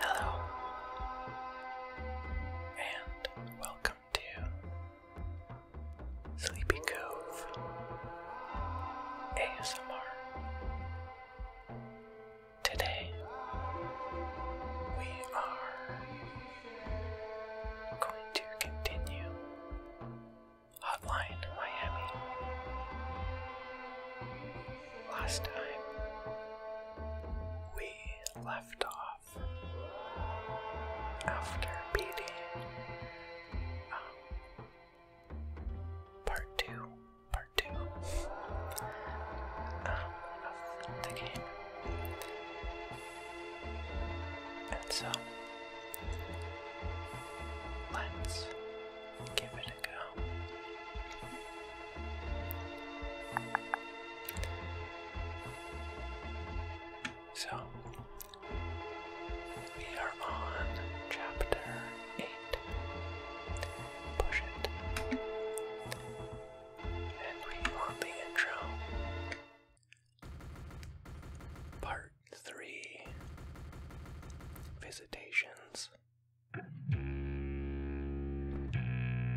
Hello, and welcome to Sleepy Cove ASMR. Today, we are going to continue Hotline Miami. Last time we left off after beating um, part two, part two um, of the game, and so let's give it a go. So, we are on chapter 8. Push it. And we want the intro. Part 3 Visitations.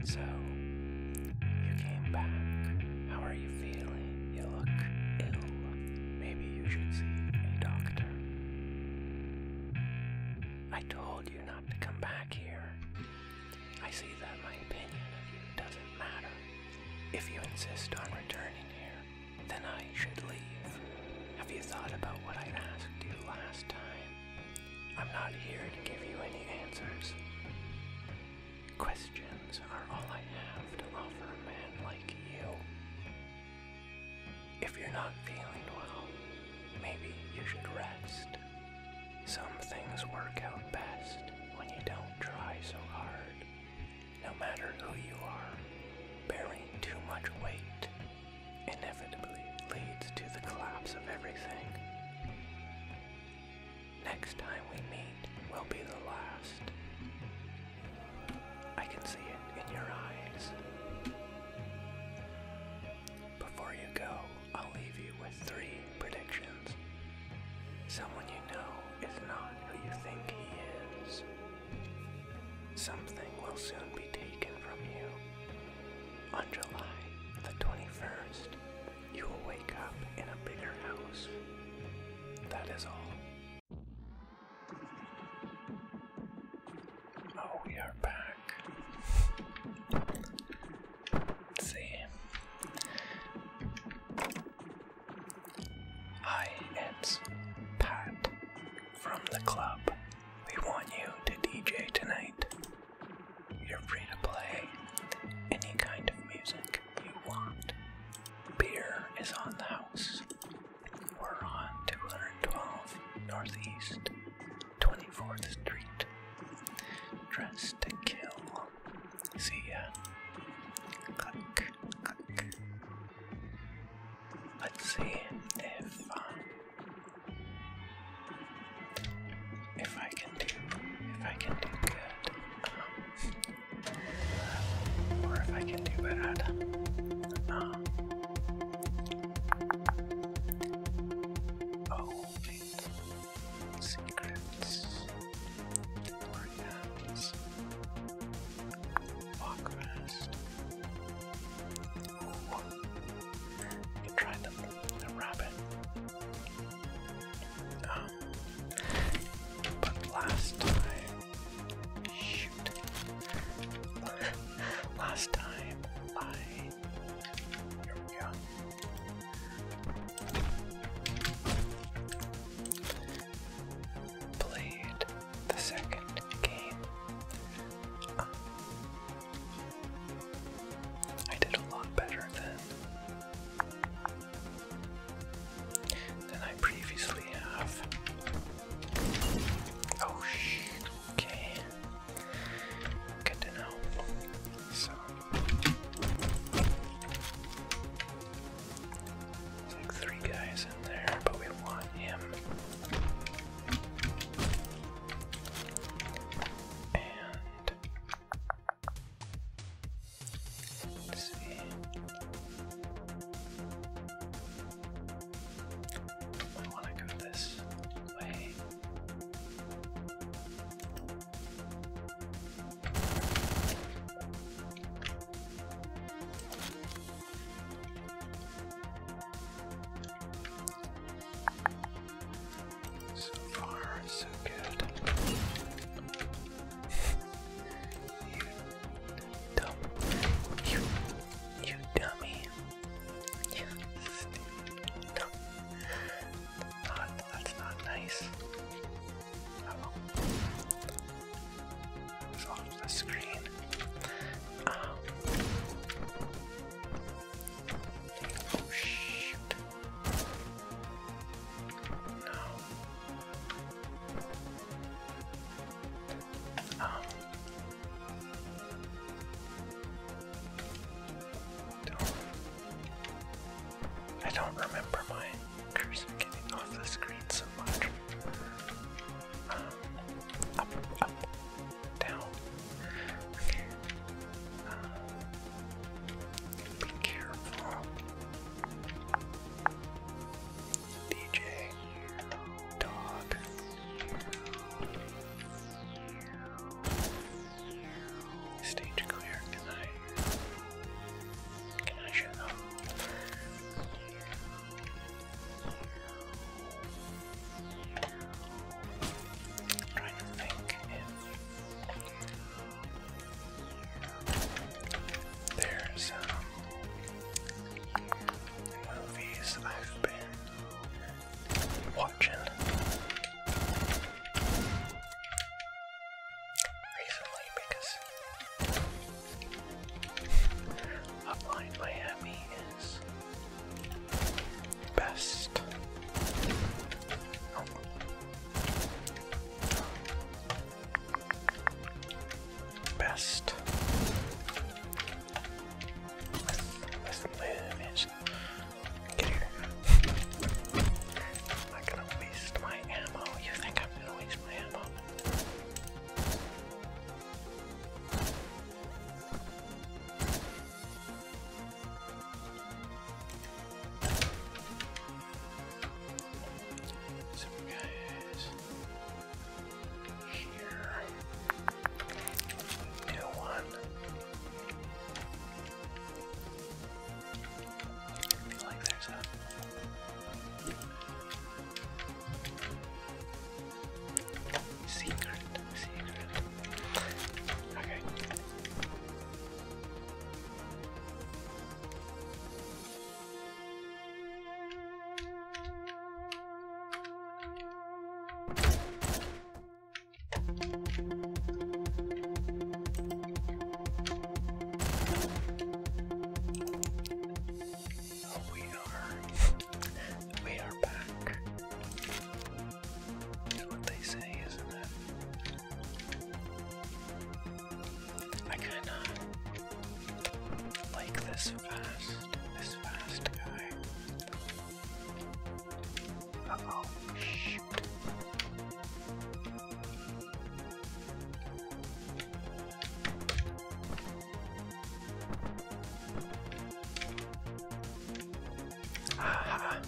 So, you came back. How are you feeling? You look ill. Maybe you should see a doctor. I told you not to come back here. I see that my opinion of you doesn't matter. If you insist on returning here, then I should leave. Have you thought about what I asked you last time? I'm not here to give you any answers. Questions are all I have to offer a man like you. If you're not feeling well, maybe you should rest. Some things work out best when you don't try so hard. No matter who you are, bearing too much weight inevitably leads to the collapse of everything. Next time we meet will be the last. I can see it in your eyes. Before you go, I'll leave you with three predictions. Someone you know is not who you think he is. Something will soon be taken from you. On July the 21st, you will wake up in a bigger house. That is all. Oh, we are back. see. Hi, it's Pat from the club. We want you to DJ tonight. You're free to play any kind of music you want. Beer is on the house. We're on 212 Northeast 24th Street. Dress to kill. See ya. Let's see if um, if I can do, if I can do good, or if I can do bad, uh, oh wait, secrets, organs, walk Try the, rabbit. Um, but last time, shoot. last time I. Played the second game. I did a lot better than than I previously have. Oh shit! Okay, good to know. So like three guys in there, but we want him. And let see. I want to go this way. So far, so good. you You, dummy. You dumb. Not, that's not nice. Oh off the screen. Oh, I don't remember my cursor getting off the screen so much. Um, up, up, down. Uh, be careful. DJ, dog. Stage clear. Can I? Can I shut there's um, movies I've been watching recently because Upline Miami is best. Oh. Best. Get here. I'm not gonna waste my ammo. You think I'm gonna waste my ammo? Some guys here. New one. I feel like there's a secret, secret. Okay. We are, we are back. That's what they not I kinda like this fast, this fast guy. oh, shoot. Okay, not bad.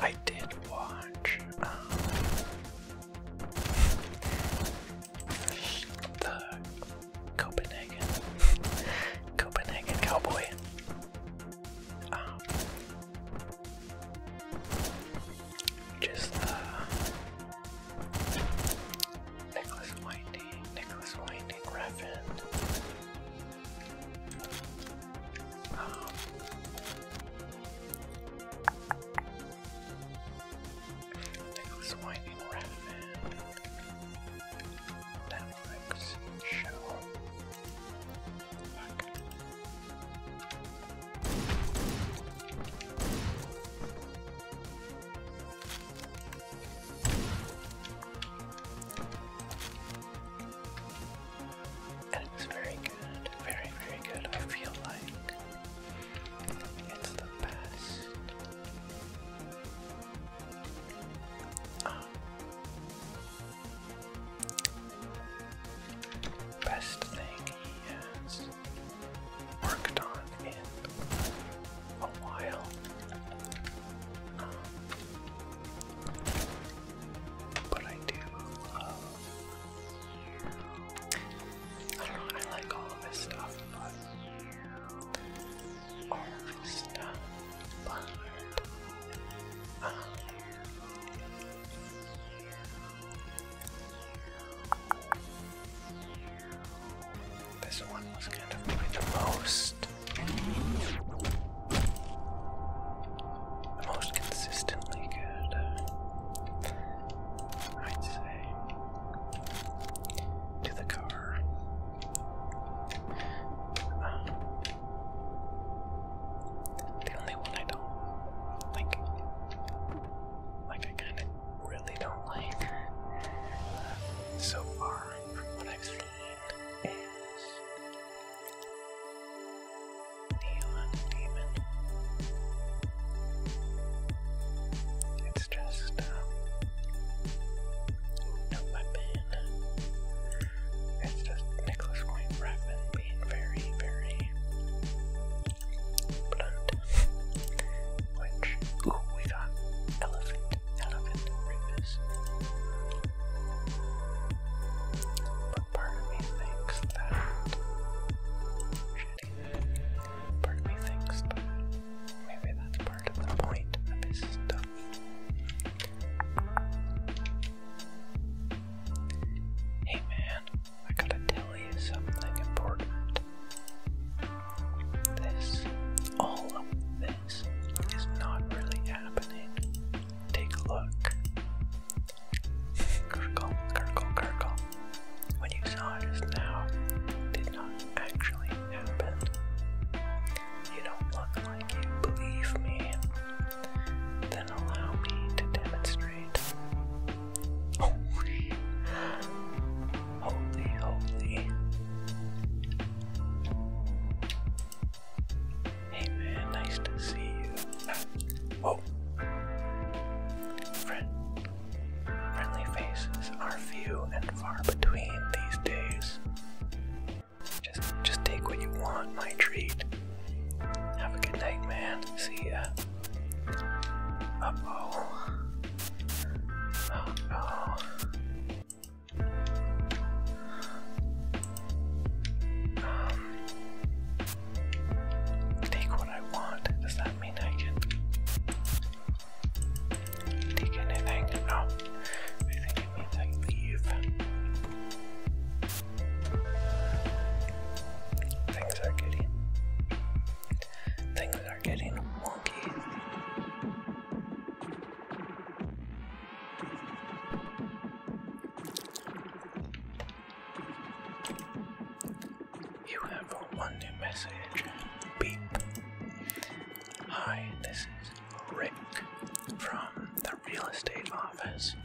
I did watch um, Copenhagen Copenhagen Cowboy. Um, just the uh, Nicholas Winding, Nicholas Winding Refn. Um, Nicholas Winding Refn. Netflix show. Fuck. It's very good, very, very good. I feel like it's the best. Ah best thing he has worked on in a while. but I do I don't know, I like all of this stuff, but all of this stuff, um, this one was going to be the most, the most consistently good, I'd say, to the car. The only one I don't like, like I kind of really don't like uh, so far from what I've seen is Neon Demon. It's just, um, no weapon, it's just Nicholas Wayne Bradman being very, very blunt. Which, we got Elephant, Elephant Rivers. But part of me thinks that. Part of me thinks that maybe that's part of the point of his stuff. Hey man, I gotta tell you something important. This, all of this, is not really happening. Take a look. Gurgle, gurgle, gurgle. When you saw just now, did not actually happen. You don't look like you believe me. Then allow me to demonstrate. Holy, holy, holy. Hey man, nice to see you. Ah, Friend, friendly faces are few and far between these days. Just, just take what you want, my treat. Have a good night, man. See ya. Uh oh. Uh oh. take what I want. Does that mean I can take anything? No. I think it I leave. Things are getting things are getting wonky. You have one new message. Hi, this is Rick from the real estate office.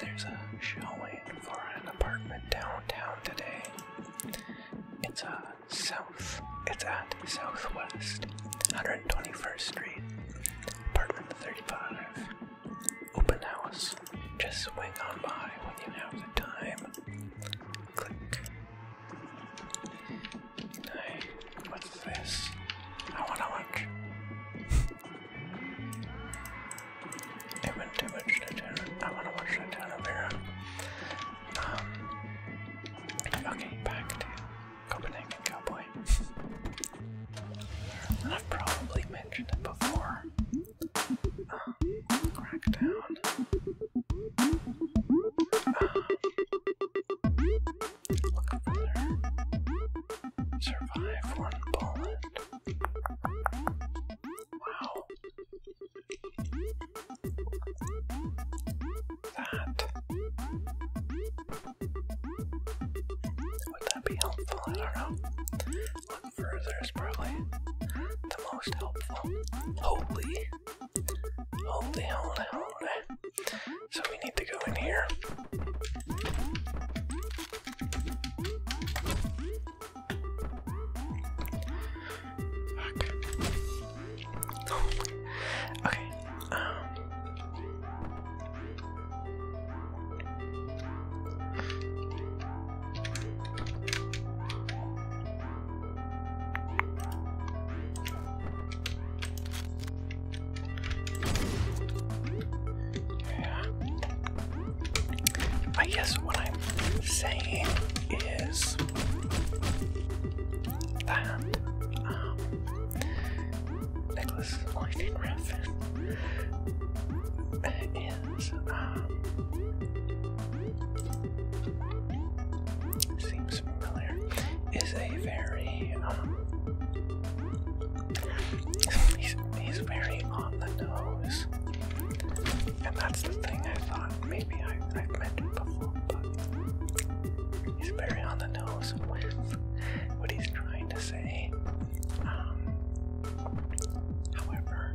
There's a showing for an apartment downtown today. It's a uh, south. It's at Southwest 121st Street, apartment 35. Open house. Just swing on by when you have the time. Click. Hey, what's this? I wanna watch. It too much to turn. I want to watch that down over here. Um, okay, back to Copenhagen Cowboy. I've probably mentioned it before. Um, Crackdown. Uh, look over there. Survive one bullet. Wow. That. Would that be helpful? I don't know. Look further is probably the most helpful. Holy. Holy, holy, holy. So we need to go in here. Fuck. okay, um. Yeah. I guess what I'm saying is that um, Nicholas Lightning Raffin is um, seems familiar. Is a very um, He's, very on the nose. And that's the thing I thought maybe I, have met him before, but he's very on the nose with what he's trying to say. Um, however,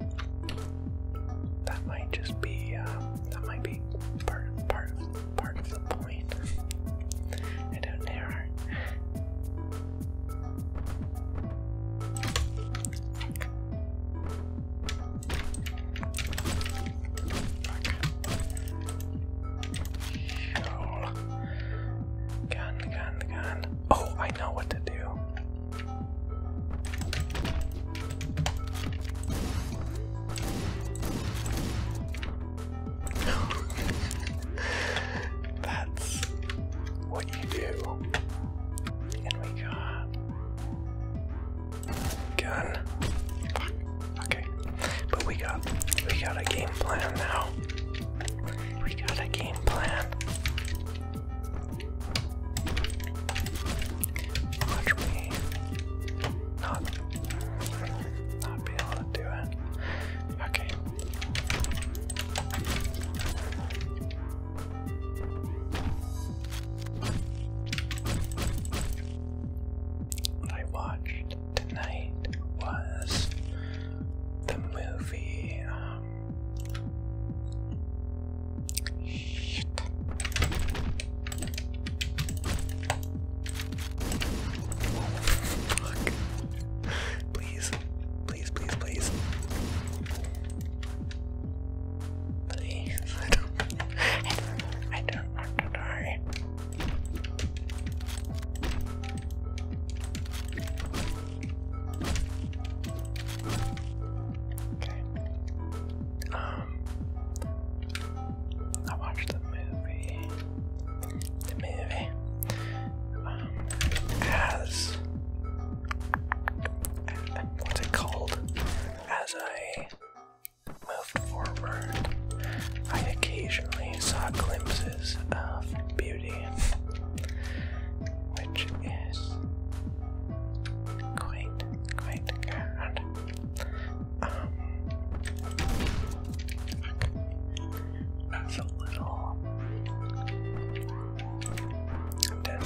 that might just be um, that might be part part part of the point. I don't know. Gun, gun, gun. Oh, I know what to do. That's you do. And we got gun. Okay. But we got we got a game plan now. We got a game plan. Watch me not not be able to do it. Okay, what I watched tonight was the movie. Um, oh, fuck please. Please, please, please. I don't want to die. Okay. Um, I watched the movie. The movie. Um, as what's it called? As I moved forward, I occasionally saw glimpses of beauty, which is quite, quite good. Um, it's a little I'm um, dead.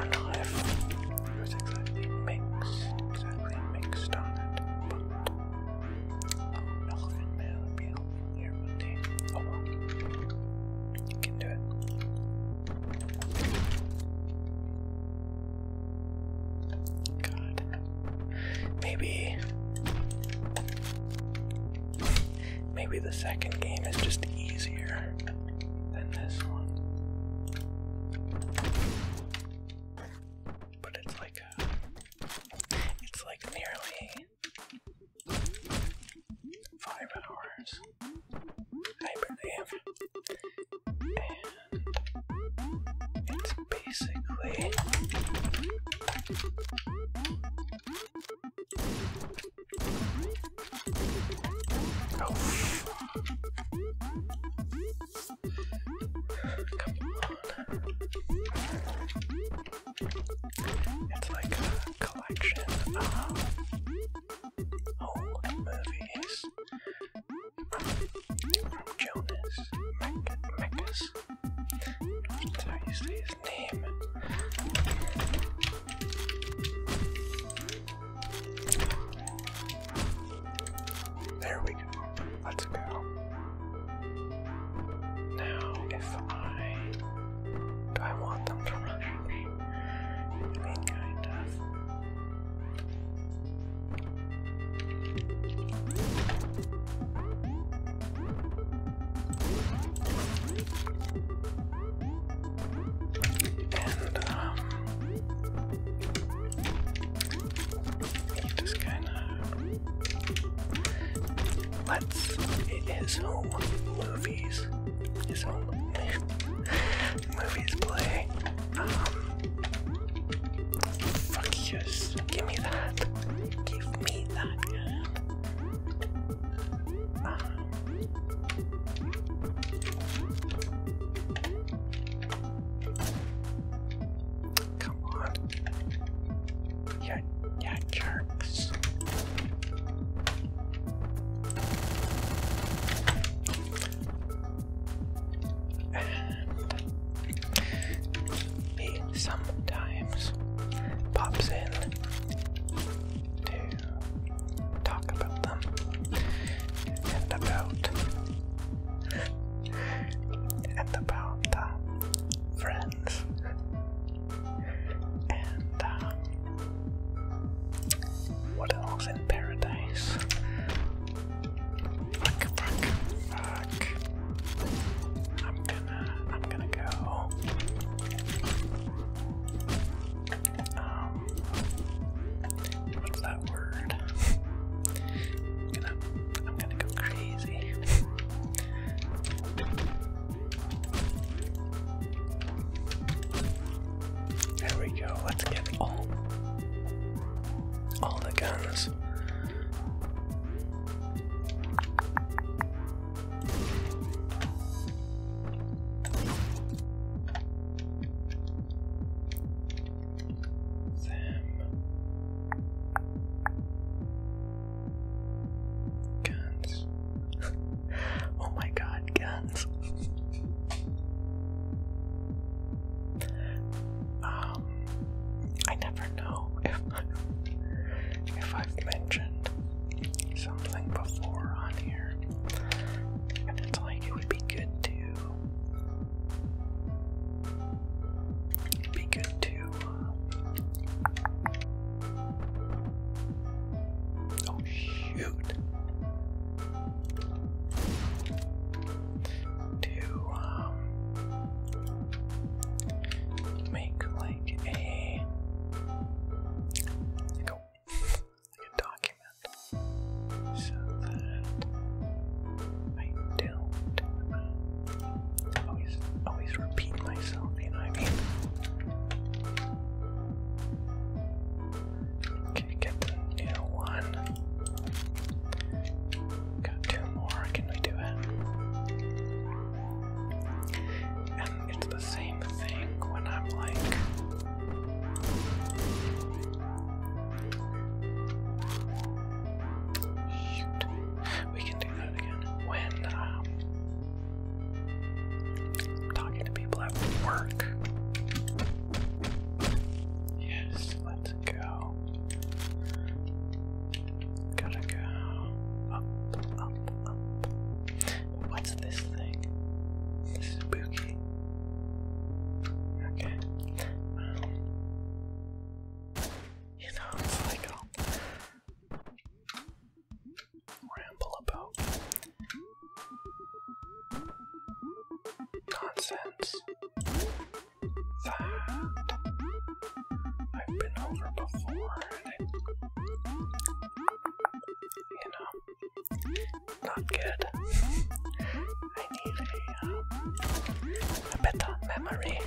don't know if exactly mixed, exactly mixed on it, but um, elephant be here one day. Oh well, you can do it. God, Maybe. Maybe the second game is just easier than this one. But it's like uh, it's like nearly five hours I believe, basically. It's like a collection of old movies from Jonas Mac is. his name. There we go. Let's go. Now, if I. Do I want them to rush me? I mean, kind and um just kinda let his own movies. His own movies play. Um Fuck yes. Give me that me that. come on. Yeah, jerks he sometimes pops in to talk about them and about and about the uh, friends and uh, what else in paradise. Like, like, uh, I'm gonna, I'm gonna go. Um, what's that word? I'm gonna, I'm gonna go crazy. There we go. Let's get all, all the guns. Guns. oh my god, guns. uh, um, I never know if if I've mentioned something before on here, and it's like it would be good to be good to. Uh, oh shoot! To um make like a like like a document so that I don't uh, always always repeat myself, you know what I mean? Okay, get the new one. Got two more, can we do it? And it's the same thing when I'm like shoot. We can do that again. When I'm um, talking to people at work. Yes, let's go. Gotta go up, up, up. What's this thing? This is spooky. Okay. Um, you know, it's um, ramble about nonsense that I've been over before. you know, not good. I need uh, a, better memory.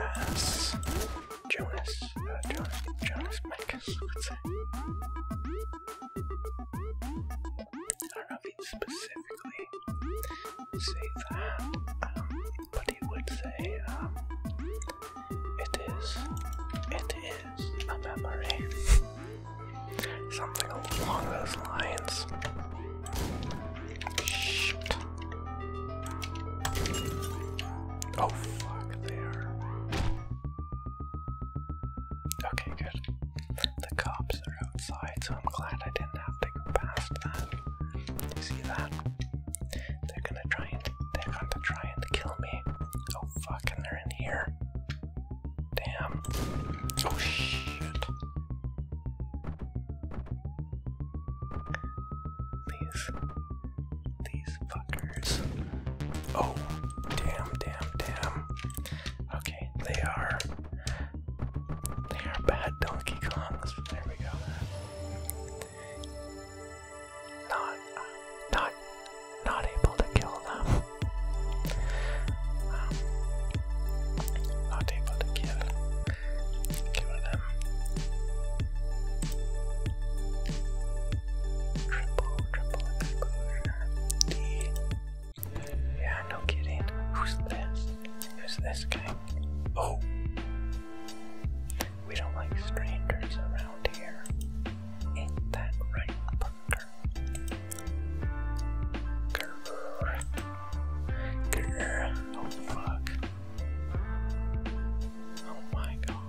As Jonas, uh, Jonas, Jonas Marcus would say. I don't know if he specifically say that. Um, but he would say, um, it is, it is a memory. Something along those lines. Shit. Oh, fuck, there. Okay, good. The cops are outside, so I'm glad I didn't drafting past that. see that? They're gonna try and they're going to try and kill me. Oh fuck, and they're in here. Damn. Oh shit. These these fuckers. Oh damn damn damn. Okay, they are they are bad Donkey Kongs. There we go. Not, not, not able to kill them. Um, not able to kill, kill them. Triple, triple exposure. Yeah, no kidding. Who's this? Who's this guy? Oh. We don't like strangers around here. Ain't that right, Parker? Grrr. Grrr. Oh, fuck. Oh my god.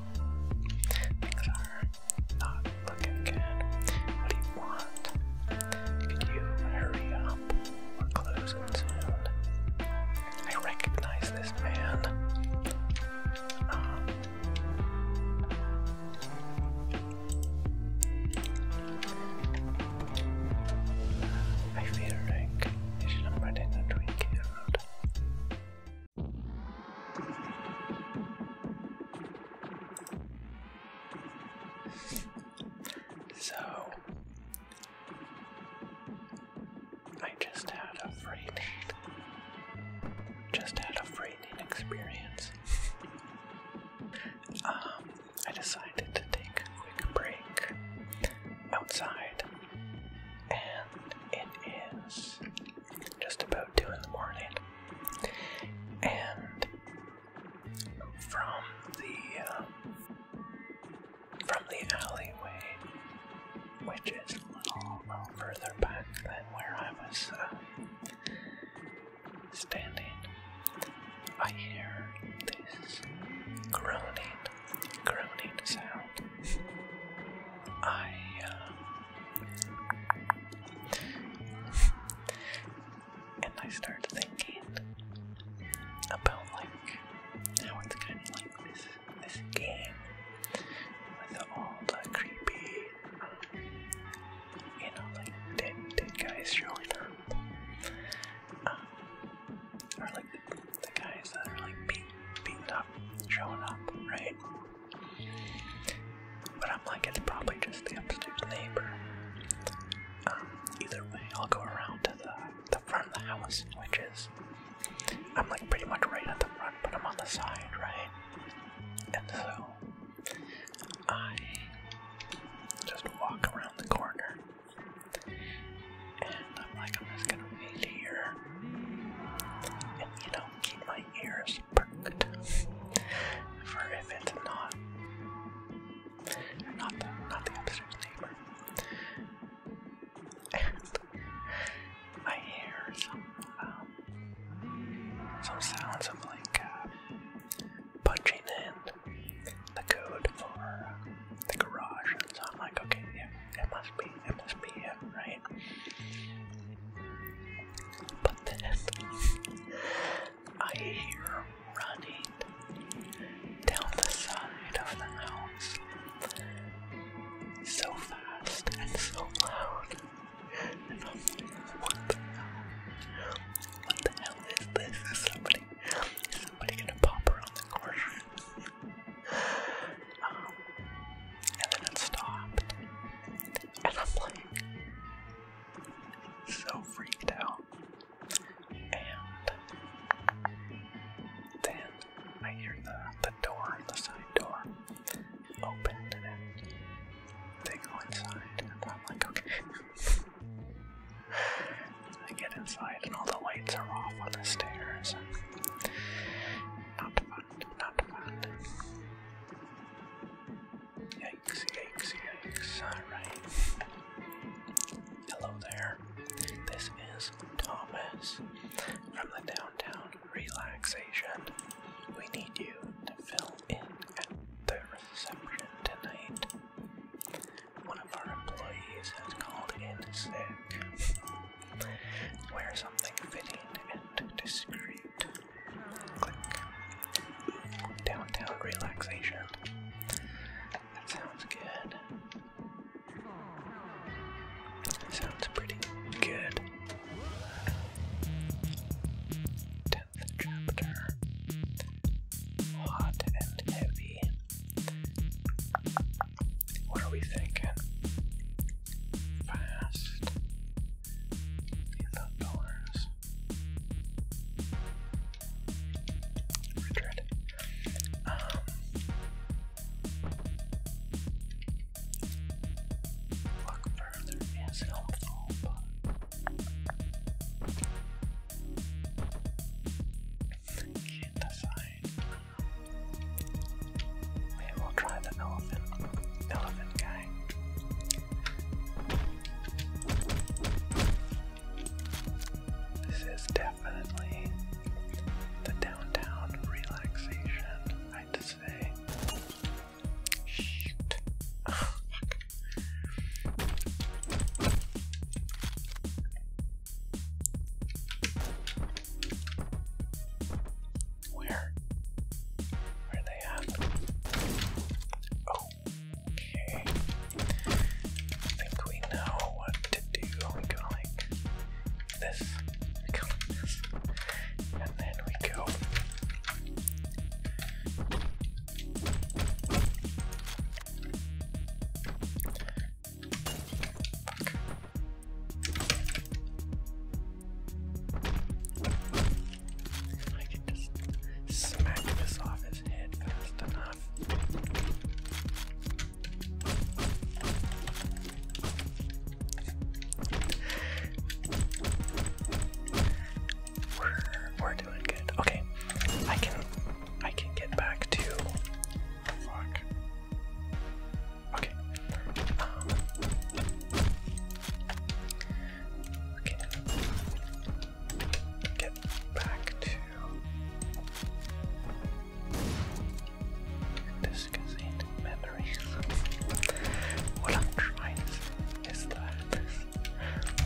Things are not looking good. What do you want? Could you hurry up? We're closing soon. I recognize this man. Um, I feel like I should have brought in a So, I just had a free Just had a free experience. um, I decided to take a quick break outside, and it is just about two in the morning. And from the uh, from the alleyway, which is a little, further back than where I was uh, standing. I hear this groaning, groaning sound. I, uh, and I start thinking about like how it's kind of like this game with all the creepy, you know, like dead dead guys showing up, or like the, guys that are like beat, beaten up showing up, right? But I'm like, it's probably just the upstairs neighbor. Um, either way, I'll go around to the the front of the house, which is I'm like pretty much right at the front, but I'm on the side, right? And so I just walk around the corner and I'm like, I'm just gonna wait here and you know, keep my ears perked for if it's not not the, not the upstairs neighbor I hear um, some sounds of like uh, punching in the code for uh, the garage, and so I'm like, okay, yeah, it must be, it must be it, right? But then I hear running down the side of the house so fast and so loud. And I'm like, what the hell? What the hell is this? Is somebody, is somebody gonna pop her on the corner? Um, and then it stopped. And I'm like, so freaked out. And then I hear the, the door, the side door, open, and then they go inside, and I'm like, okay. I get inside, and all the lights are off on the stairs. Not fun, not fun. Yikes, yikes, yikes. Alright. Hello there. This is Thomas from the Downtown Relaxation. We need you to fill in at the reception tonight. One of our employees has called in sick. Wear something fitting and discreet. Click. Downtown Relaxation. That sounds good. Sounds pretty good. chapter Hot and Heavy. What are we thinking? Fast. outdoors. Richard. Um, Look further is helpful, but can't we'll try the elephant, elephant guy. This is definitely the downtown relaxation, I had say. Shoot. Oh, fuck. Where? Where are they at? Okay. I think we know what to do. We can like this, we go this, and then we go. I can just smack this off his head fast enough. We're we're doing good. Okay, I can I can get back to Okay. Um, Get back to discussing what I'm trying is that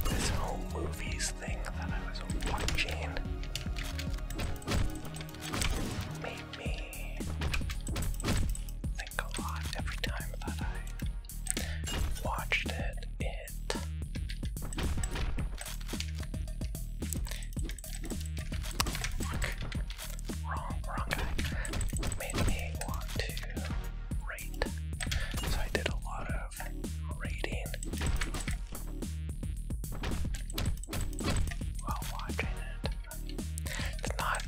this, whole movies thing that I was watching made me think a lot every time that I watched It Made me want to rate. So I did a lot of rating while watching it. It's not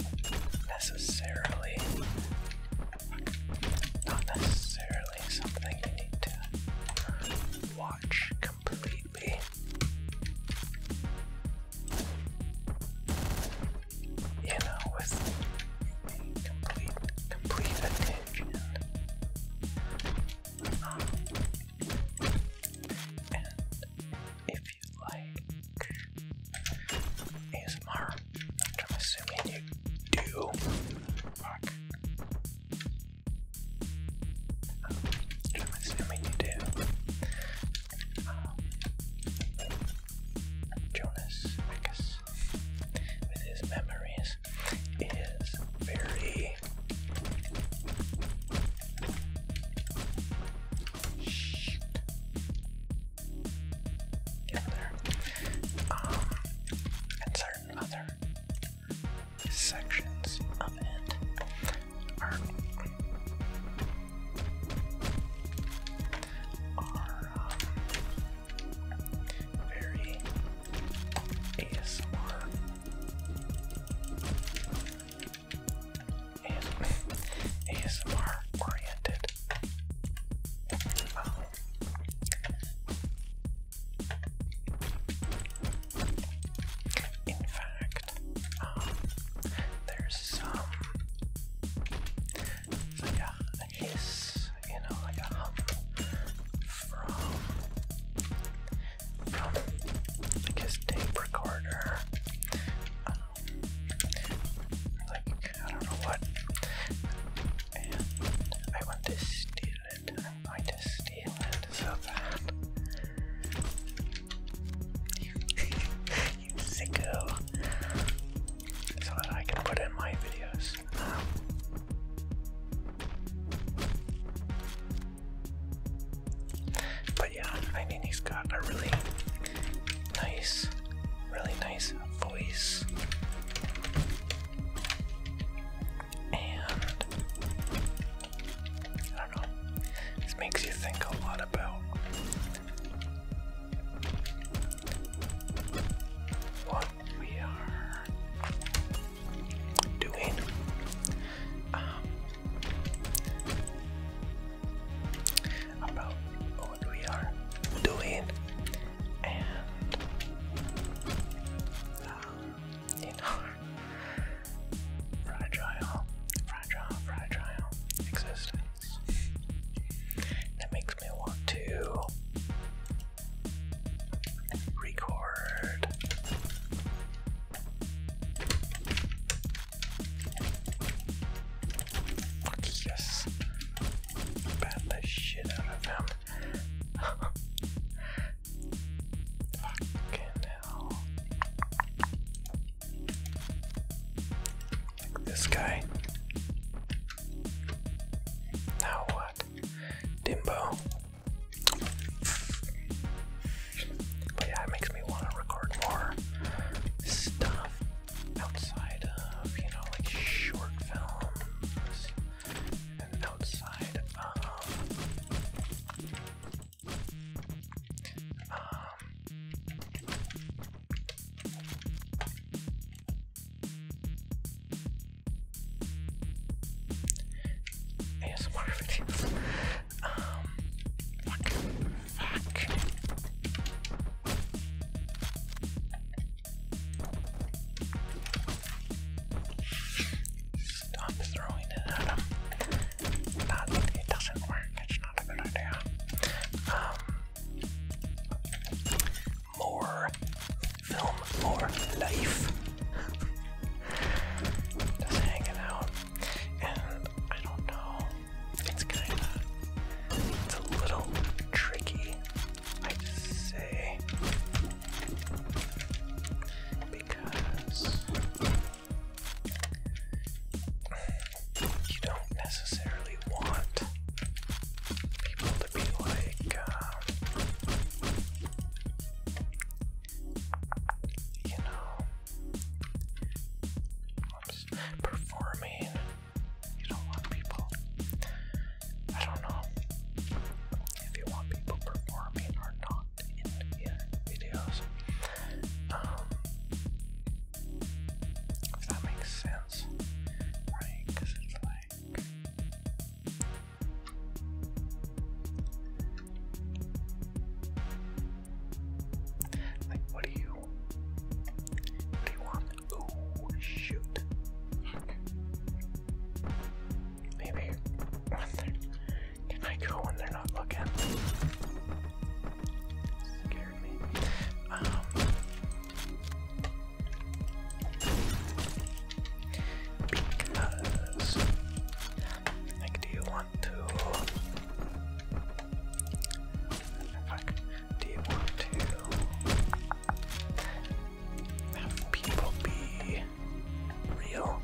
necessarily not necessarily something you need to watch completely be. You know, with complete, attention. and if you like ASMR, which I'm assuming you do, I'm assuming you do. Um, Jonas, I guess, with his memories, is very. Shit. Get there. Um, and certain other sections of it our, very ASMR ASMR oriented. Um, in fact, um, there's some, like a, hiss, you know, like a hum from, from like his tape recorder. Um, like, I don't know what. And I want to steal it. I'm steal it so that you sicko. So that I can put in my videos. Um, but yeah, I mean, he's got a really nice, really nice voice. And I don't know. This makes you think a lot about what we are doing. Um, about what we are doing and um, in Fragile, fragile, fragile existence. That makes me want to record. Fuck yes. Bat the shit out of him. Fucking hell. This guy. Now what? Dimbo. But yeah, it makes me want to record more stuff outside of, you know, like short films and outside of um, ASMR fuck, um, fuck. Stop throwing it at him. That, it doesn't work. Um, more film, more life. Just hanging out, and I don't know. It's kind of, it's a little tricky. I just say because. You don't necessarily want people to be like, uh, you know, performing. You don't want people. I don't know if you want people performing or not in videos. Um, if that makes sense, right? Because it's like. Like, what do you. What do you want? Oh, shoot. Maybe. Can I go when they're not looking? Scared me. Um, like, do you want to? Fuck. Do you want to have people be real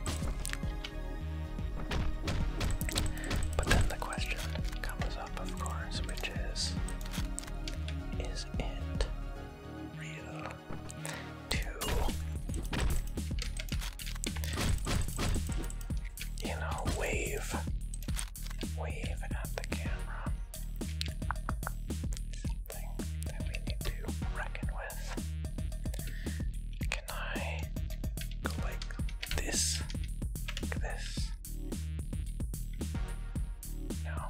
but then the question comes up, of course, which is Is it real to, you know, wave, wave at the camera? Something that we need to reckon with can I go like this? this? No.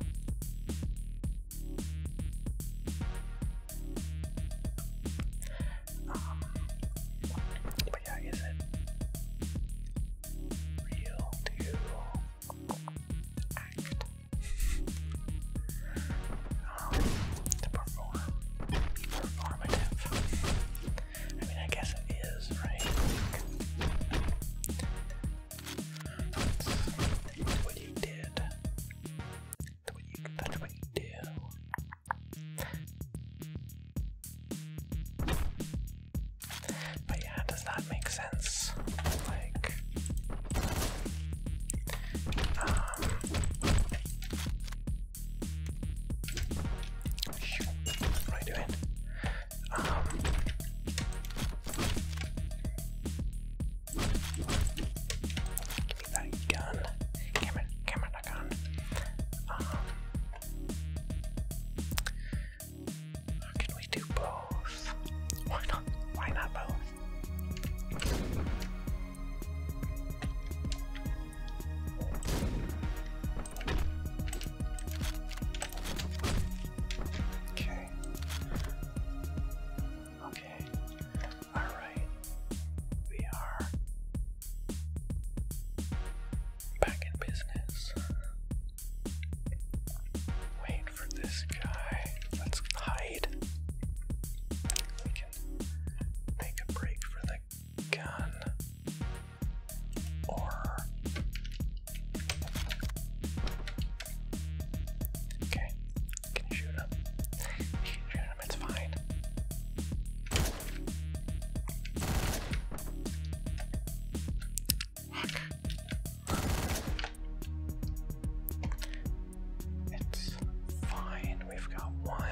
Um, it real to act? Um, to perform, performative. I mean, I guess it is, right? let what you did. that's what you do. But yeah, does that make sense? Like, um, Shoot. What am I doing? give me that gun. Give me, give me that can we do both? Why not? Why not both? Okay. Okay. All right. We are back in business. Wait for this guy. Let's hide. We can take a break for the gun. Or okay, can you shoot him? shoot him. It's fine. It's fine. We've got one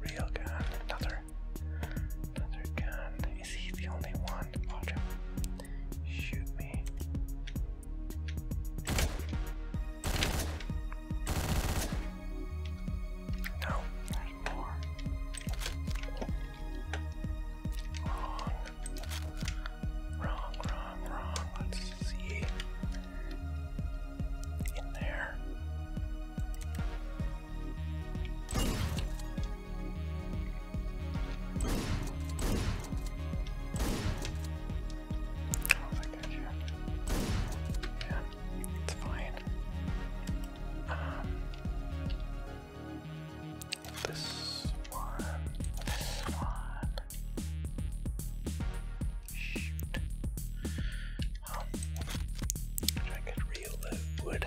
real gun, another another gun. Is he the only one? Watch him. Shoot me. No, there's more. Wrong. Wrong, wrong, wrong. Let's see. In there. Yeah, it's fine. this one, this one. Shoot. I could reload Reload.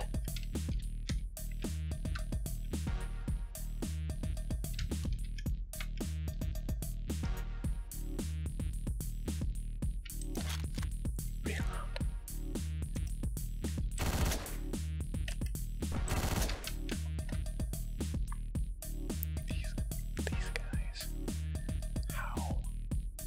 these guys, how Ten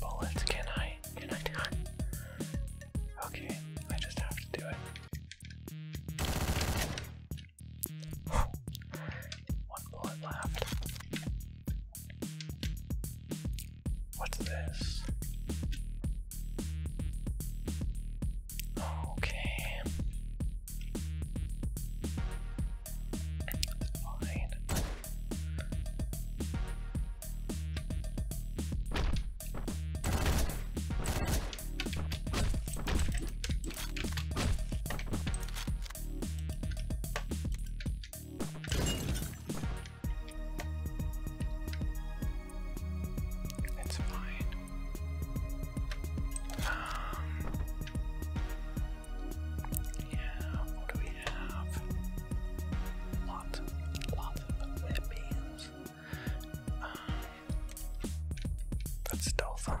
bullets, can I? Can I Okay, I just have to do it. One bullet left. What's this? Okay. That's fine. It's fine. Um, yeah, what do we have? Lots lots of red um, that's stealth, huh?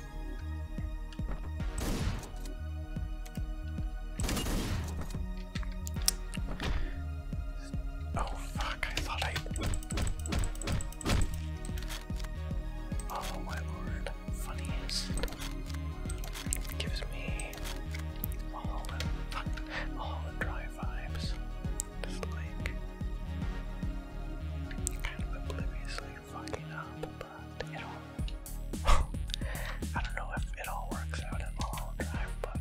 Oh fuck, I thought I Oh my lord, funniest gives me all the all the dry vibes. Just like kind of obliviously I don't know if it all works out in the long drive, but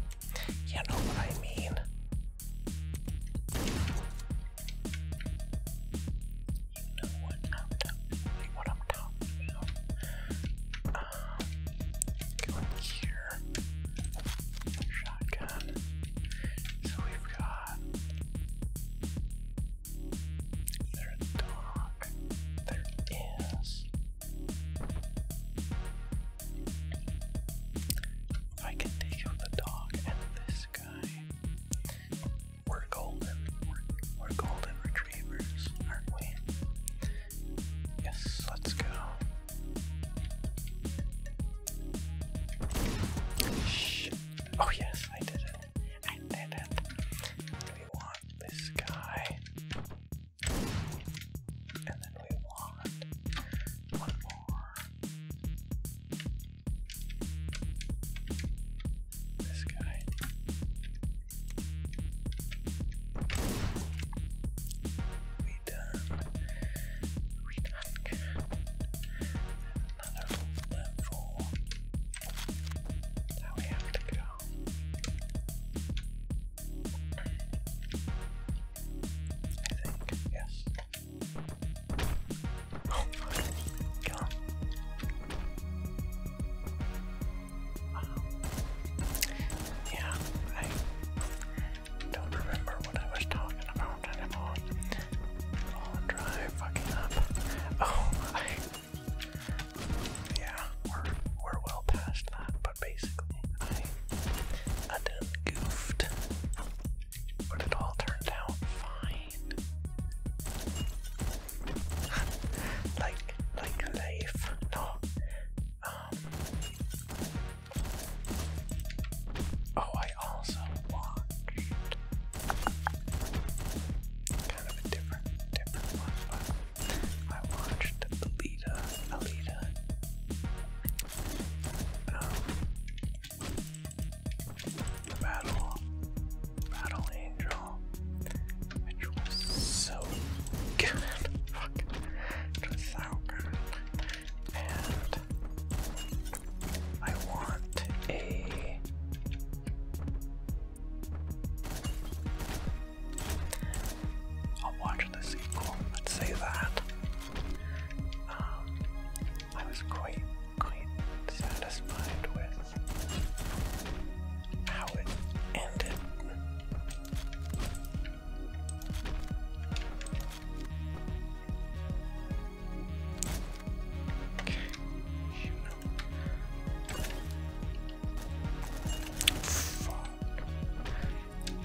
you know what I mean. You know what I'm talking What I'm talking Um, going here. Shotgun. So we've got they're dark. Their I can take out the dog and this guy. We're golden. we're golden retrievers, aren't we? Yes, let's go. Shh. Oh yes, I did it. I did it. We want this guy. And then we want one more. This guy. We done. We done. And now we have to go. I think, yes. Oh my god. yeah, I don't remember what I was talking about anymore. i Oh, I, yeah, we're we're well past that, but basically, I I done goofed, but it all turned out fine. like like life, no. Um. Oh, I also want kind of a different, different one, I watched Alita, Alita. Um, battle, Battle Angel, which was so good, fuck, it and I want a I'll watch the sequel, let's say that. Um, I was quite quite satisfied with how it ended.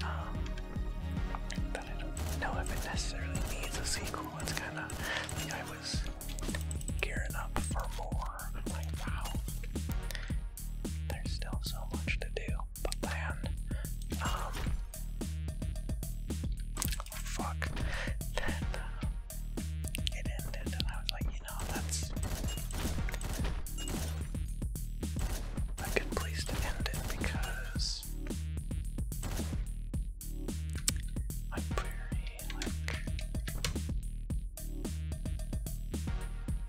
Um, I don't know if it necessarily needs a sequel. It's kind of I was gearing up for more. like, wow, there's still so much to do. But then, um, fuck. Then, uh, it ended, and I was like, you know, that's a good place to end it because I'm very like.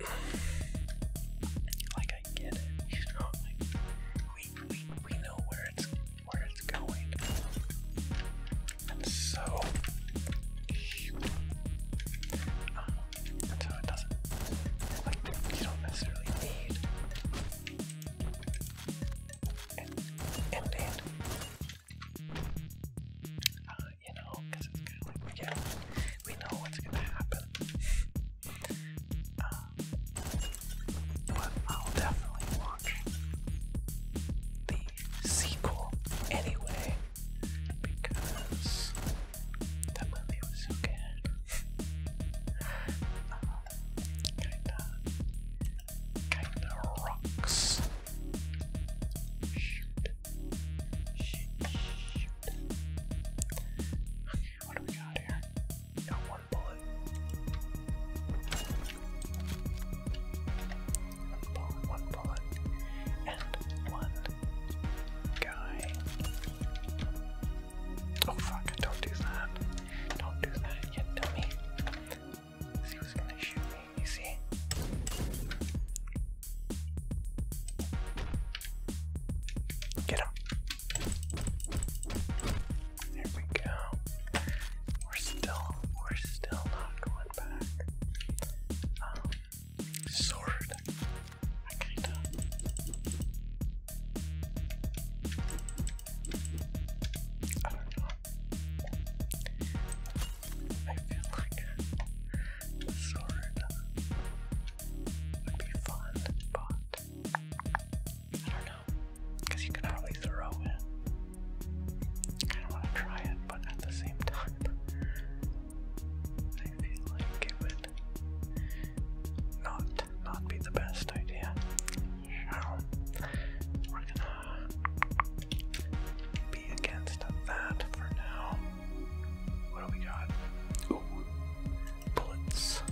Like I get it, you know. Like we we we know where it's and so, so it doesn't, you don't necessarily need an end uh, you know, because it's kind of like, we know what's going to happen. Uh, but I'll definitely watch the sequel anyway because the movie was so good. Uh, kinda, kinda rocks. Shoot, shoot, shoot. Okay, what do we got here? Got one bullet. One pawn, one pawn, and one guy. Oh fuck, don't do that. Don't do that yet, dummy. He was gonna shoot me, you see? Get him. There we go. We're still, we're still not going um, sword. I don't know. I feel like sword would be fun, but I don't know. you can probably throw it kind of want to try it, but at the same time, I feel like it would not not be the best idea. we're gonna be against that for now. What do we got? Ooh, bullets.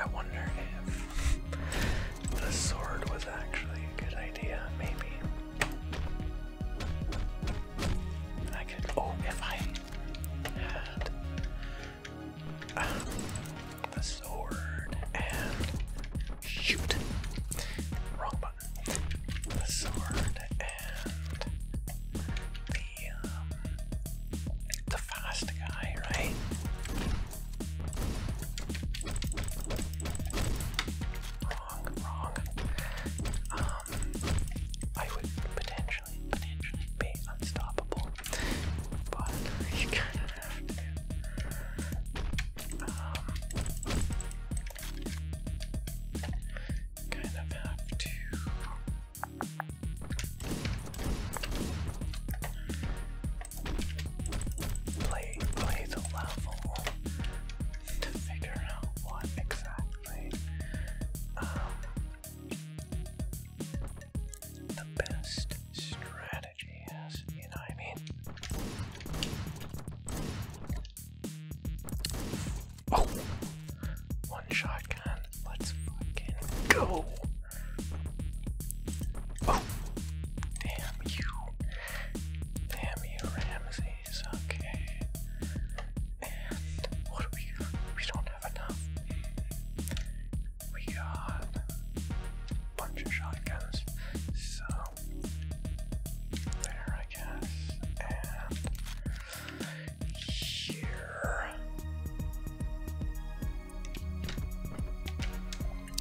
I wonder if the sword was actually a good idea, maybe. I could. Oh, if I had uh, the sword Shoot. Wrong button. The sword and the um, the fast guy, right? Wrong, wrong. Um, I would potentially, potentially be unstoppable, but you kind of um, kind of have to play play the level to figure out what exactly um, the best strategy Jeez, oh, One shotgun. Let's fucking go! Oh! Damn you. Damn you, Ramses. Okay. And what do we got? We don't have enough. We got a bunch of shotguns. So there, I guess. And here.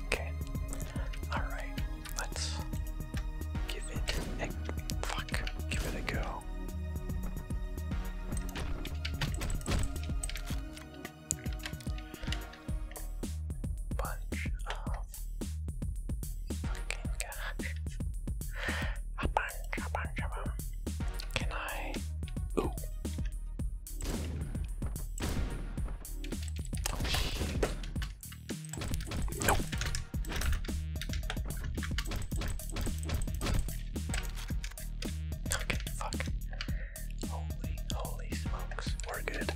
Okay. Alright. Let's give it a fuck. Give it a go bunch of fucking guys. a bunch, a bunch of them. Can I? Ooh. Oh shit. Nope. Okay, Holy, holy smokes. We're good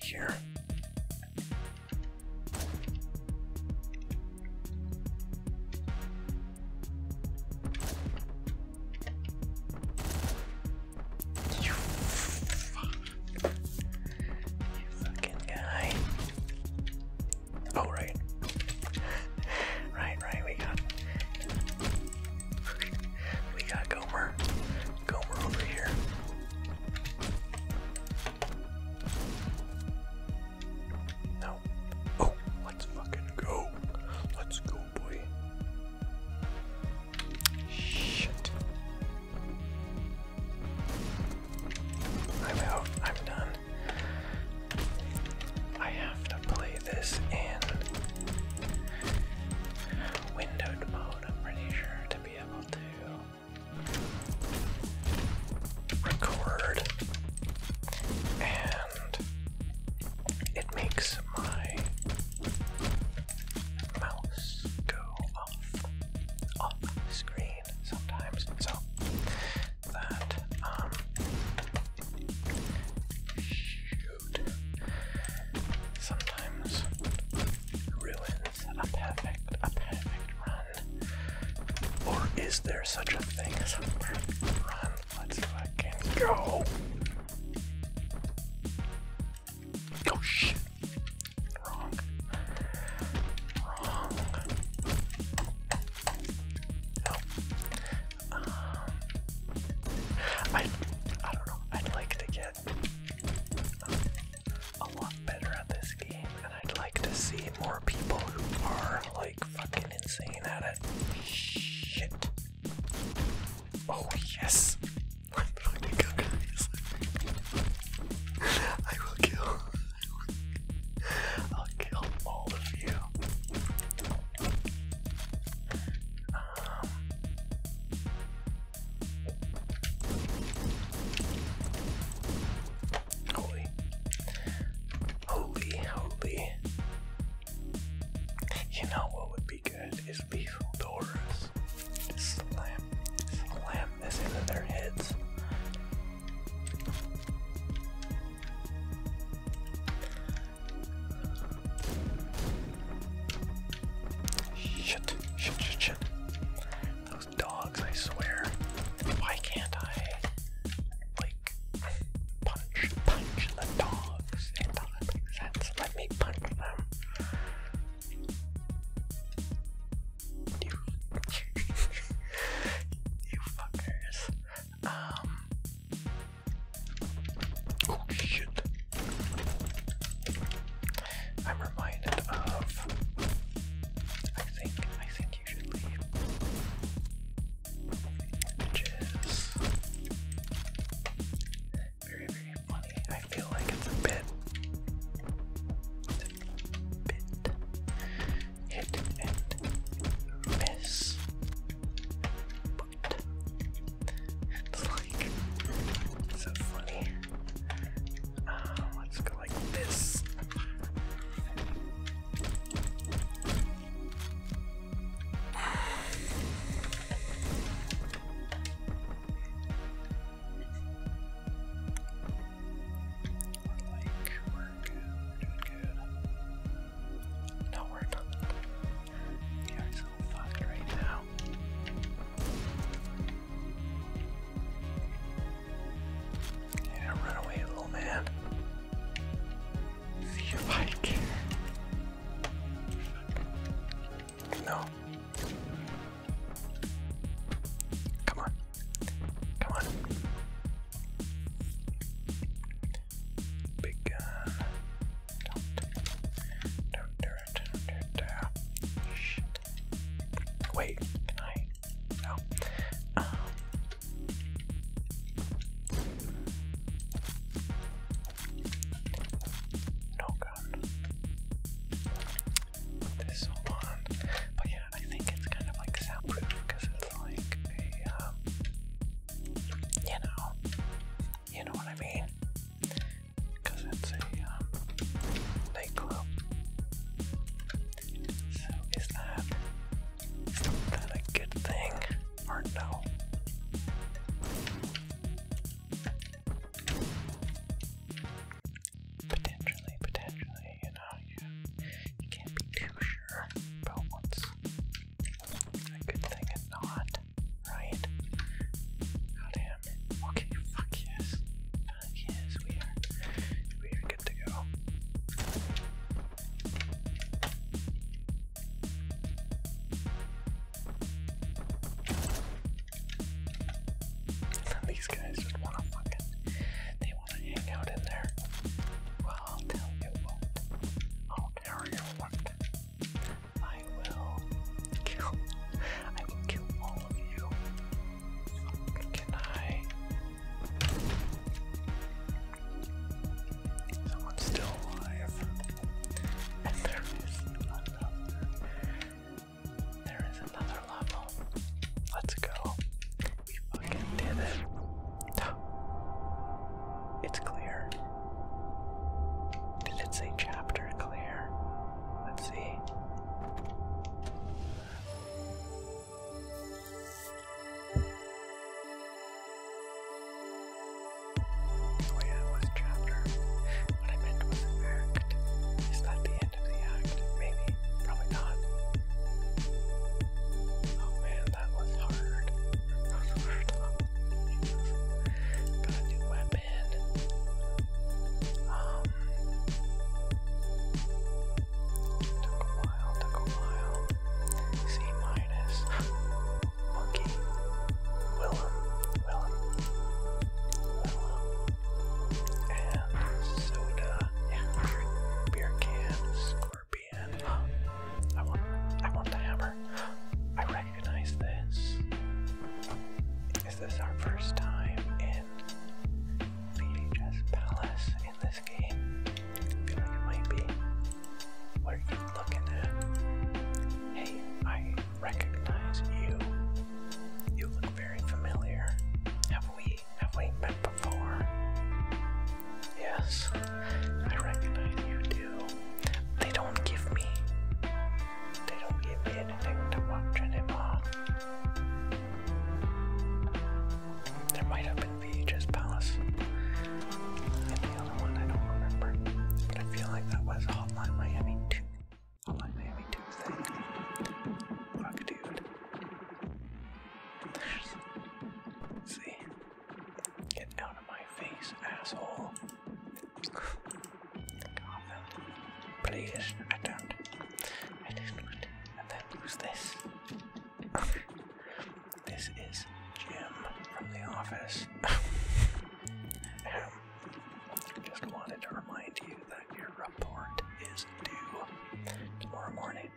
here. You fucking guy. Oh, right, right, we got we got Gomer. Gomer over here. No. Oh, let's fucking go. Let's go, boy. Shit. I'm out. I'm done. I have to play this in windowed mode, I'm pretty sure, to be able to record. And it makes my mouse go off off screen sometimes, so that um food sometimes ruins a perfect, a perfect run. Or is there such a thing as a perfect run? Let's fucking go! Oh shit! Wrong. Wrong. Um, I I don't know. I'd like to get a lot better at this game, and I'd like to see more people who are like fucking insane at it. Shit. Oh yes. I'm fucking go guys. I will kill. I'll kill all of you holy, holy, holy. You know what would be good is lethal doors. Just slam, slam this into their heads. Shit, shit, shit, shit. Those dogs, I swear. Why can't I, like, punch, punch the dogs? It doesn't sense. Let me punch them. You, you fuckers. Um, Oh shit. I'm reminded of I think I think you should leave. very, very funny. I feel like it's a bit bit hit and miss but it's like so funny. Uh, let's go like this. Like, we're good, good, good. No, we're not. You're so fucked right now. Yeah, run away, little man. See your bike. No. Come on. Come on. Big gun. Uh, Wait, can I? No. Um. No But yeah, I think it's kind of like soundproof because it's like a, um, you know, you know what I mean? Because it's a um, nightclub. So is that a good thing or no? Potentially, potentially, you know, you can't be too sure about what's a good thing and not. Right. Oh damn. Okay, fuck yes. Fuck yes, we are we are good to go. These guys just wanna fucking they wanna hang out in there. Well I'll tell you what. I'll tell you I will kill. I will kill all of you. Can I? Someone's still alive. And there is another. There is another level. Let's go. We fucking did it. It's clear. Did it say chapter clear? Let's see. Oh yeah, it was chapter. What I meant was act. Is that the end of the act? Maybe. Probably not. Oh man, that was hard. That was hard. Got a new weapon. took a while, took a while. C minus. Monkey. Willem. Willem. Willem. And soda. beer, beer can. Scorpion. I want I want the hammer. I recognize this. Is this our first time in VHS Palace in this game? I feel like it might be. What are you looking at? Hey, I recognize you. You look very familiar. Have we have we met before? Yes, I recognize you, they don't give me. They don't give me anything to watch anymore. There might have been VHS Palace. And the other one I don't remember. But I feel like that was Hotline Miami 2. Hotline Miami 2 thing. Fuck dude. There's, see. Get out of my face, asshole. Please, I don't. I just want and then who's this? this is Jim from the office. um, just wanted to remind you that your report is due tomorrow morning.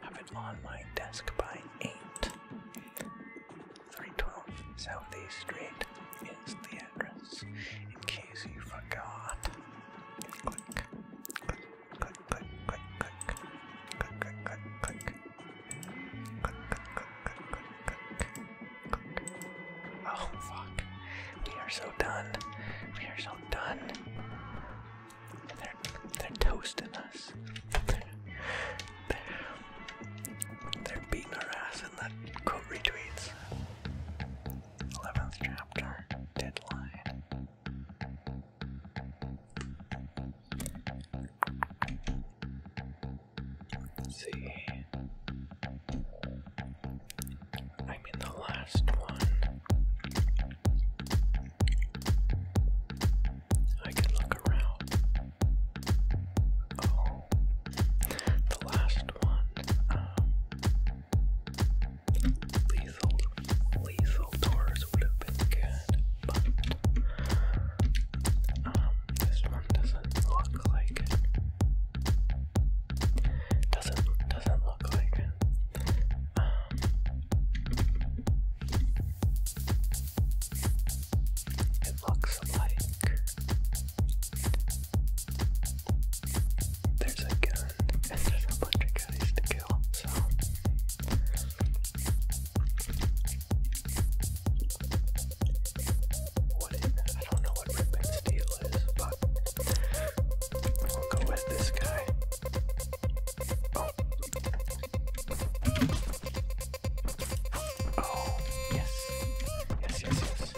Have it on my desk by eight. 312 Southeast Street is the address. In case you forgot, click, click, click, click, click, click, click, click, click, click, click, click, click, click. Oh fuck! We are so done. We are so done. They're they're toasting us. They're, they're, beating our ass person that quote retweets. 11th chapter, deadline. see. I mean, the last one. I can look Oh. the last one. Um, lethal, lethal doors would have been good, but um, this one doesn't look like it. Doesn't doesn't look like it. Um, it looks like there's a gun and there's a guys to kill, so what is I don't know what rip and steal is, but we'll go with this guy. Oh. Oh, yes. Yes, yes, yes.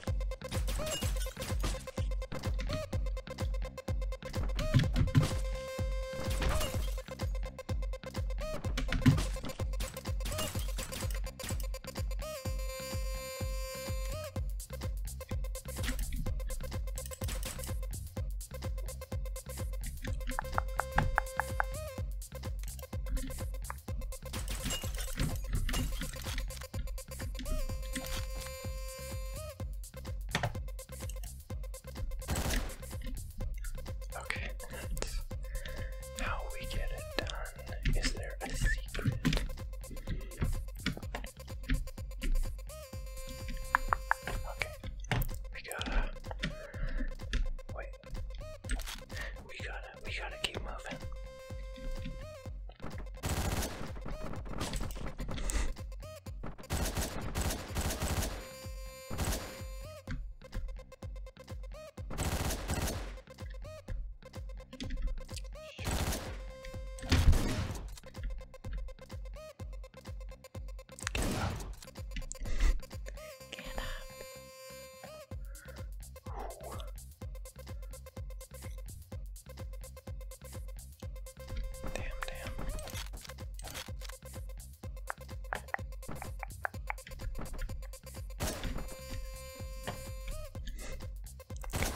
Okay, how we get it done? Is there a secret? Okay, we gotta wait. We gotta, we gotta keep moving. Get up. Get up. Damn, damn. Come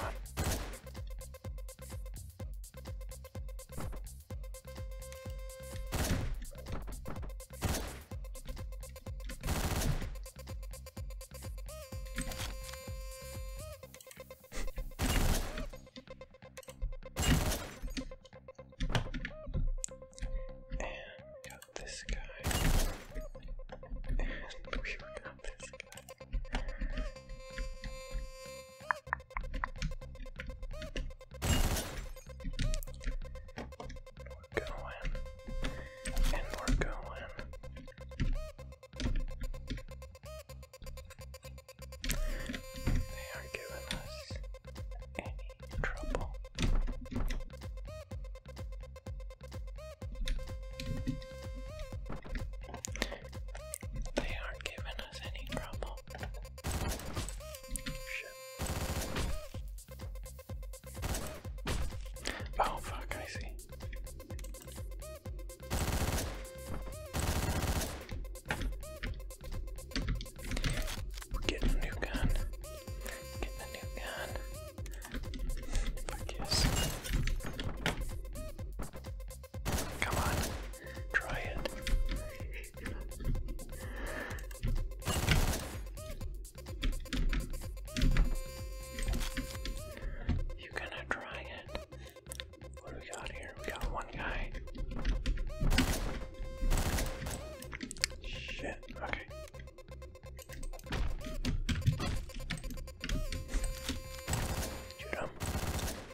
on. And we got this guy. And we got this guy going. And we're going. They aren't giving us any trouble. They aren't giving us any trouble. Shit. Oh, fuck, I see. we a new gun. Getting a new gun. Fuck yes. Come on. Try it. You gonna try it? What do we got here? We got one guy. Shit, okay.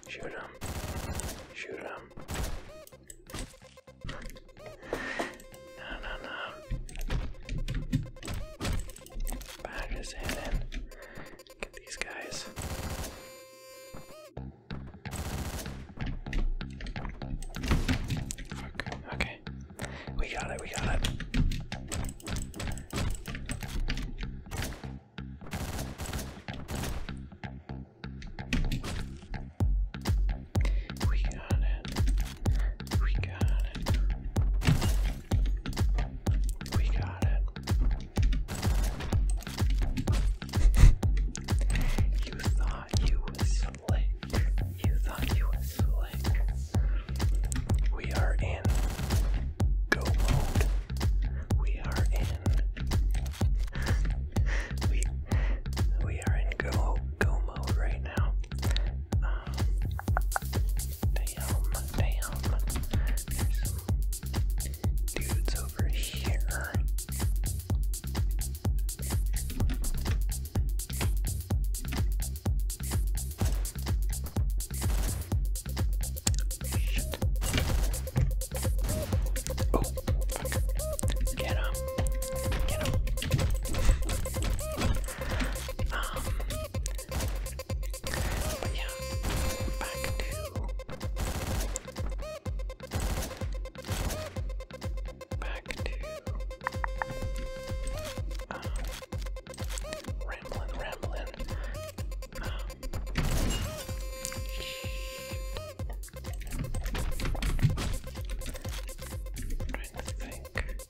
Shoot him. Shoot him. Shoot him. No, no, no. Back his head in. Get these guys. Okay. We got it, we got it. We got it. We got it. We got it. you thought you were slick. You thought you were slick. We are in go mode. We are in. we we are in go go mode right um, damn, damn. There's some dudes over here. Oh, Get him. Get him. Um, but yeah, back to back to um, ramblin', ramblin'. Um, I'm trying to think. Perfect,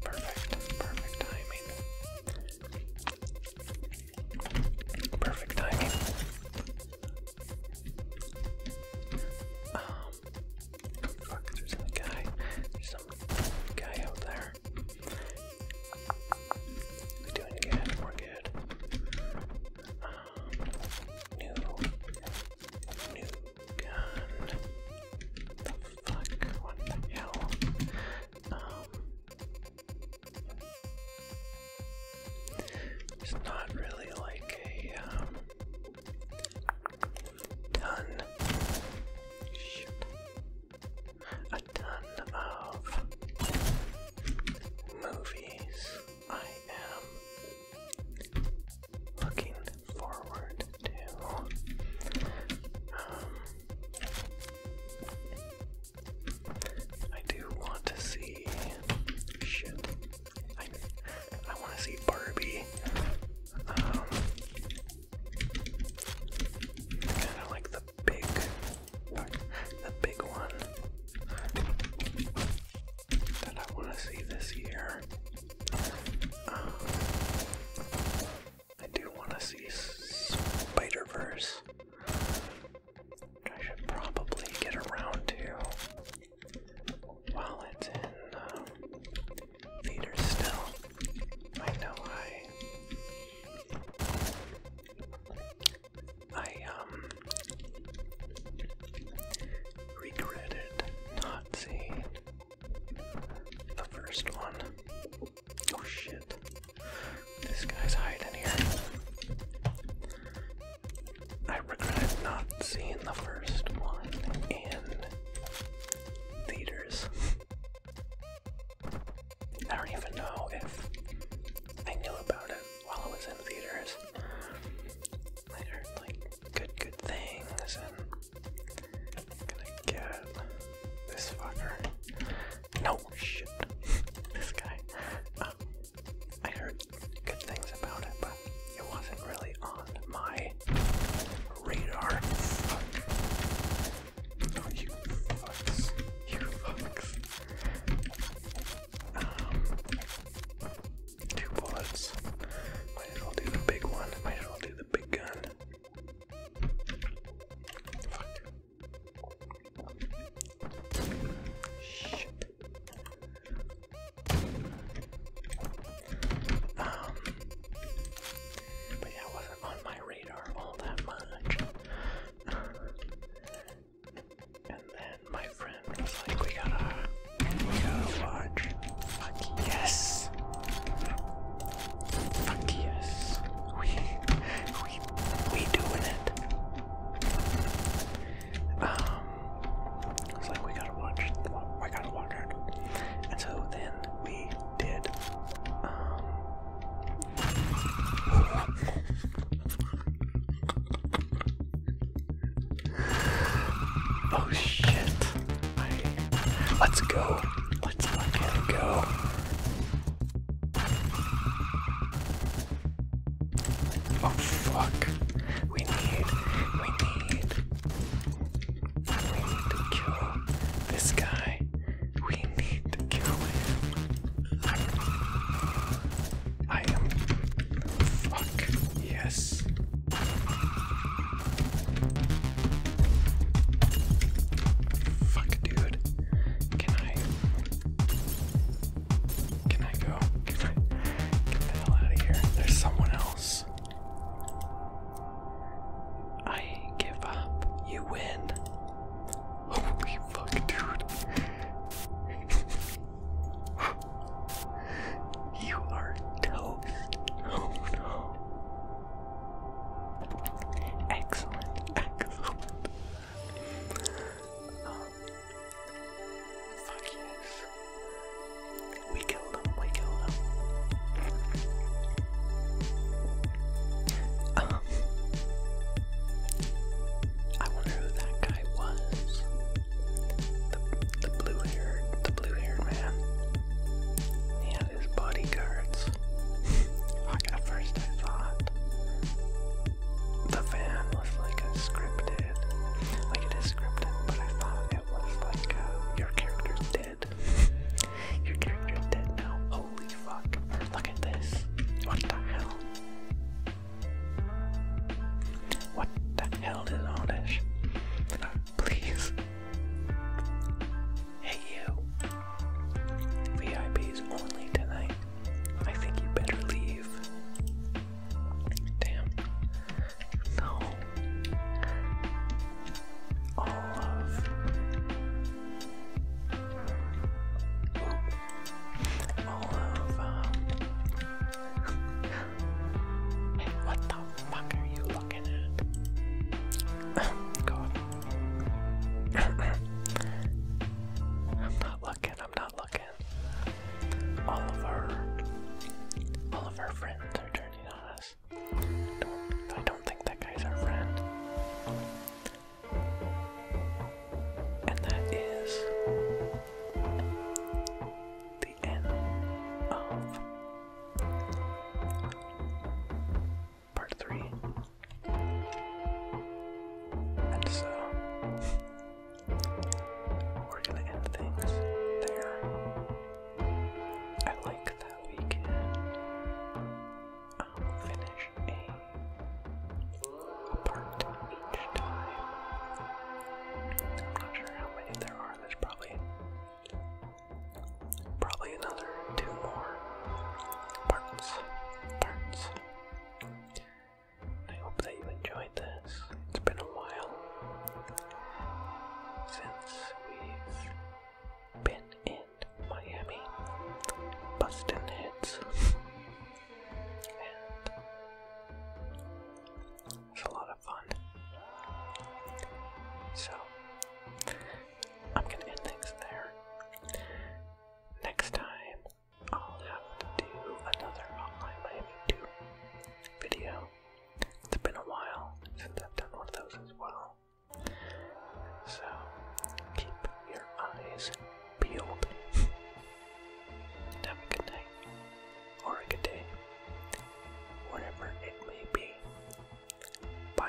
perfect timing. Perfect timing. Um, fuck, there's a guy, there's some guy out there. We're doing good, we're good. Um, New, new gun. The fuck? What the hell? Um, it's not really like a um, ton. A ton of movies I am looking forward to. Um, I do want to see I want to see Barbie. kind um, of like the big the big one that I want to see this year. Um, I do want to see Spider Verse. I should probably get around to while it's in um, theaters still. I know I I um regretted not seeing the first one. Oh shit. This guy's hiding here. I regret not seeing the first one in theaters. I don't even know if I knew about it while it was in theaters. I like good, good things, and gonna get this fucker. No shit, this guy. Um, I heard good things about it, but it wasn't really on my radar. you fucks. You fucks um, two bullets. Might as well do the big one. Might as well do the big gun. Shit. Um, but yeah, wasn't on my radar all that much. And then my friend was like, we gotta, we watch. Fuck yes! Fuck yes! We, we, we doing it. Um, it's like we gotta watch, I gotta watch it. And so then we did, um, Oh shit. let's go. Let's fucking go. Oh fuck. We need, we need, we need to kill this guy. We need to kill him. I am. Fuck. Yes. Fuck, dude. Can I. Can I go? get the hell out of here? There's someone else. I give up. You win. Holy fuck, dude. you are toast. Oh no. Excellent, excellent. Um, fuck yes. We killed him, we killed him. Um, I wonder who that guy I was. The, the blue haired, the blue haired man. He had his bodyguards. at first I thought the van was like a scripted, like it is scripted, but I thought it was like uh, your character's dead. your character's dead now. Holy fuck! Look at this. What the hell? What the hell is all this? Please. Hey you. VIPs only tonight. I think you better leave. Damn. No. All of. All of, um, Hey, what the fuck are you looking at? God. I'm not looking, I'm not looking. All all of our friends are turning on us. I don't think that guy's our friend. And that is the end of part three. And so we're gonna end things there. I like that we can um, finish a apart each time. I'm not sure how many there are. There's probably probably another two more parts. Parts. I hope that you enjoyed this. It's been a while since we've been in Miami busting hits. it's a lot of fun. So, I'm going to end things there. Next time, I'll have to do another Online Miami 2 video. It's been a while since I've done one of those as well. So, keep your eyes peeled. have a good night or a good day, whatever it may be. Bye.